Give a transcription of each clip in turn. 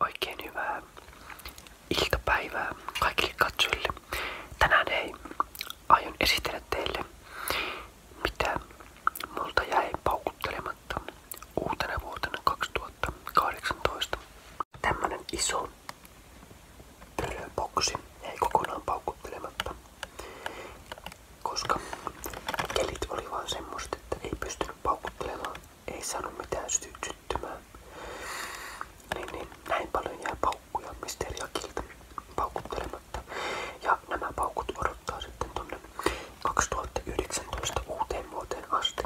Oikein hyvää iltapäivää kaikille katsojille. Tänään ei aion esitellä teille, mitä multa jäi paukuttelematta uutena vuotena 2018. Tämmönen iso pölöboksi jäi kokonaan paukuttelematta, koska kelit oli vaan ei pystynyt paukuttelemaan ei sano mitään sy syttymään. Niin, niin näin paljon jää paukkuja Misteriakilta paukuttelematta. Ja nämä paukut odottaa sitten tonne 2019 uuteen vuoteen asti.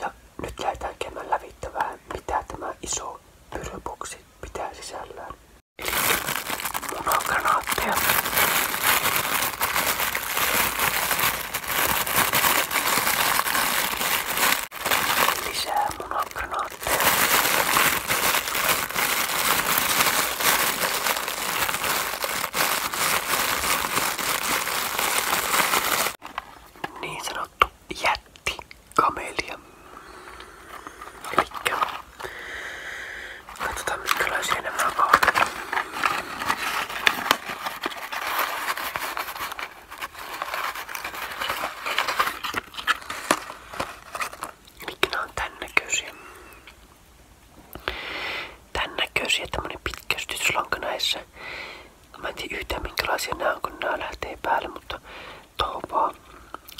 Ja nyt lähdetään käymään lävittävää, mitä tämä iso pyryboksi pitää sisällään. Eli munakanaatteja. Lisää munagranaatteja. Niin sanottu jätti kamelia. Elikkä Katsotaan minkälaisia nämä on. Mikä nämä on tän näköisiä? Tän näköisiä tämmönen pitkä sytyslanka näissä. Mä en tiedä yhtään minkälaisia nämä on kun nämä lähtee päälle, mutta tohon vaan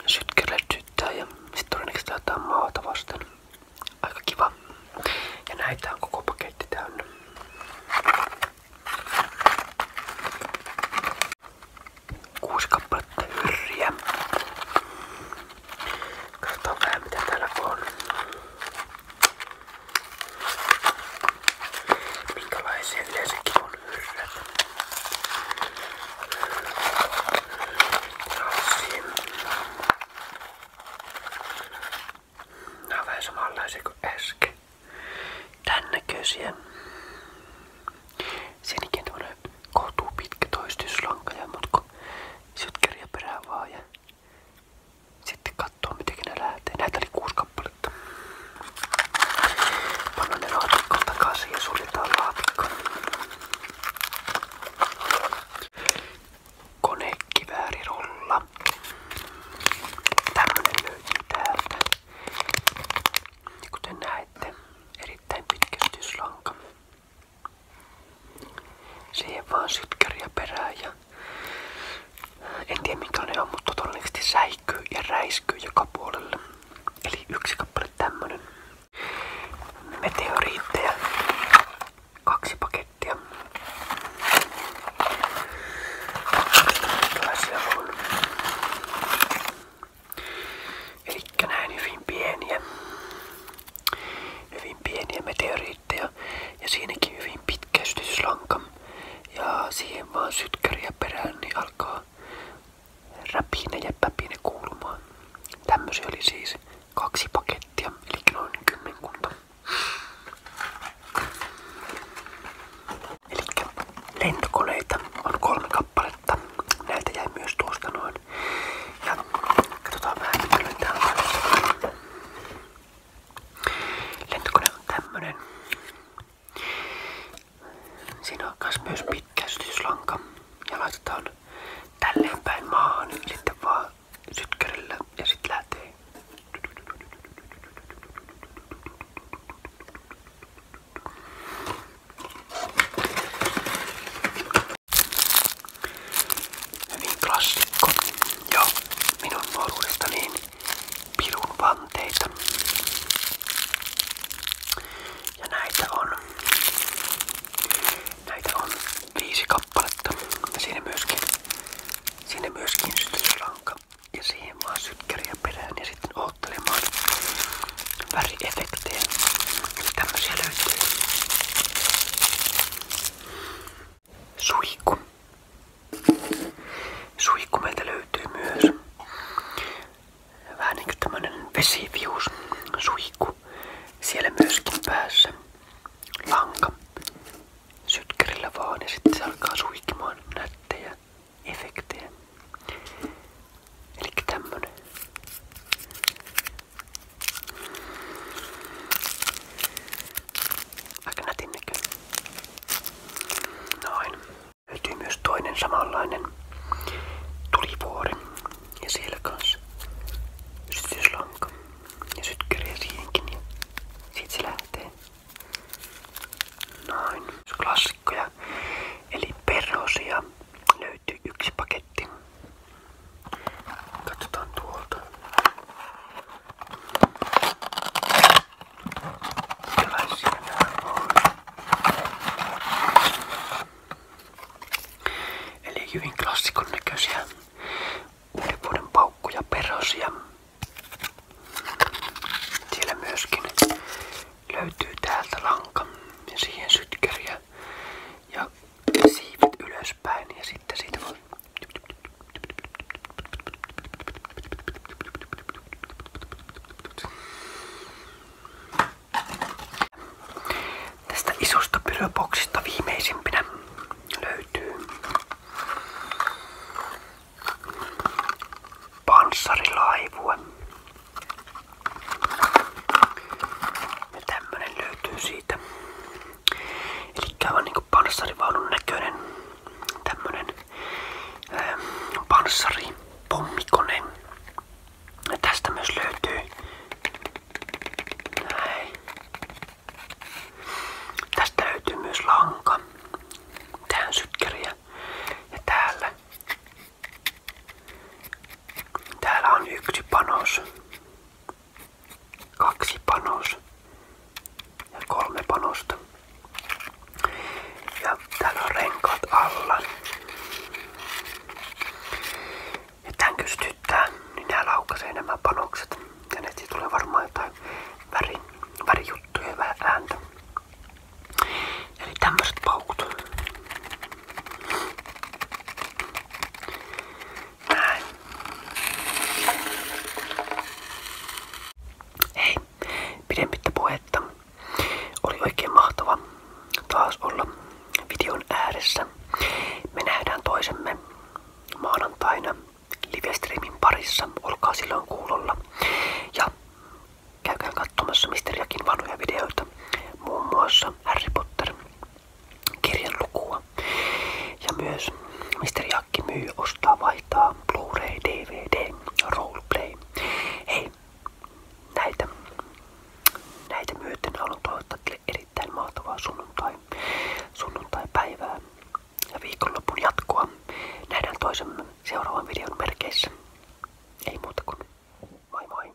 sytkelee syttää ja sit todennäköisesti jotain maata vasten. Aika kiva. Ja näitä on koko paketti täynnä. Kuusi kappaletta hyrriä. Katsotaan vähän mitä täällä on. Minkälaisia yleensäkin on hyrrät. Nämä on vähän samanlaisia kuin äsken. Tän näköisiä. Siinäkin on tämmönen kohtuu pitkä toistuslanka ja mut kun sytkäriä perään vaan ja sitten katsoo mitenkin ne lähtee. Näitä oli kuusi kappaletta. Pannaan ne laatikkoon takaisin ja suljetaan laatikko. Konekiväärirulla. Tämmönen löytyy täältä. Ja kuten näette, erittäin pitkästyslanka. Siihen vaan sytkäriä perään ja en tiedä mikä ne on, mutta todennäköisesti säikkyy ja räiskyy joka puolelle. Eli yksi kappale tämmönen meteoriitteja. Kaksi pakettia. Tällaisia on. Elikkä näin hyvin pieniä. Hyvin pieniä meteoriitteja. Ja siinäkin hyvin pitkä sytyslanka. Ja siihen vaan sytkäriä perään, niin alkaa räpine ja päpine kuulumaan. Tämmöisiä oli siis kaksi pakettia, eli noin kymmenkunta. Eli lentokoneita on kolme kappaletta. Näitä jäi myös tuosta noin. Ja katsotaan vähän mitä löytää. Lentokone on tämmönen. Siinä on myös, myös pitkä sytyslanka ja laitetaan tälleen päin maahan sitten vaan sytkärillä ja sitten lähtee. Hyvin klassikko. Joo, minun nuoruudestani niin pirun vanteita. Ja näitä on, näitä on viisi kappaletta. Ja siinä myöskin, siinä myöskin sytyslanka ja siihen vaan sytkäriä perään ja sitten oottelemaan väriefektejä. Eli tämmösiä löytyy. Suihku. Suihku meiltä löytyy myös. Vähän niinku tämmönen vesivius suihku. Siellä myöskin päässä lanka sytkärillä vaan ja sitten se alkaa suihkimaan nättejä efektejä. Eli tämmönen. Aika nätin näköinen. Noin. Löytyy myös toinen samanlainen tulivuori ja siellä kanssa sytyslanka ja sytkäriä siihenkin ja siitä se lähtee. Noin, klassikkoja. Eli perhosia löytyy yksi paketti. Katsotaan tuolta. Sellaisia nämä on. Eli hyvin klassikon näköisiä uuden vuoden paukkuja, perosia. Siellä myöskin löytyy täältä lanka ja siihen sytkäriä ja siivet ylöspäin ja sitten siitä voi Tästä isosta pylöboksista viimeisimpinä löytyy panssarilaivue. Ja tämmönen löytyy siitä Elikkä on niinku panssarivaunun näköinen tämmönen ää, ähm, panssaripommikone. Ja tästä myös löytyy näin. Tästä löytyy myös lanka. Tähän sytkäriä. Ja täällä Täällä on yksi panos kaksi panos ja kolme panosta. Ja täällä on renkaat alla. Ja tän kystyttää, niin nää laukaisee nämä panokset. Ja netti tulee varmaan jotain värin, värijuttuja ja vähän ääntä. Eli tämmöiset paukut. Näin. Hei, pidemmittä puhetta. Oli oikein mahtava taas olla videon ääressä. Me nähdään toisemme maanantaina livestreamin parissa. Olkaa silloin kuulolla. Ja käykää katsomassa Misteriakin vanhoja videoita. Muun muassa Harry Potter kirjan lukua. Ja myös Mr. Jakki myy, ostaa, vaihtaa Blu-ray, DVD, Roleplay. Hei, näitä, näitä myöten haluan toivottaa teille erittäin mahtavaa sunnuntai, sunnuntai-päivää ja viikonlopun jatkoa. Nähdään toisen seuraavan videon merkeissä. Ei muuta kuin moi moi.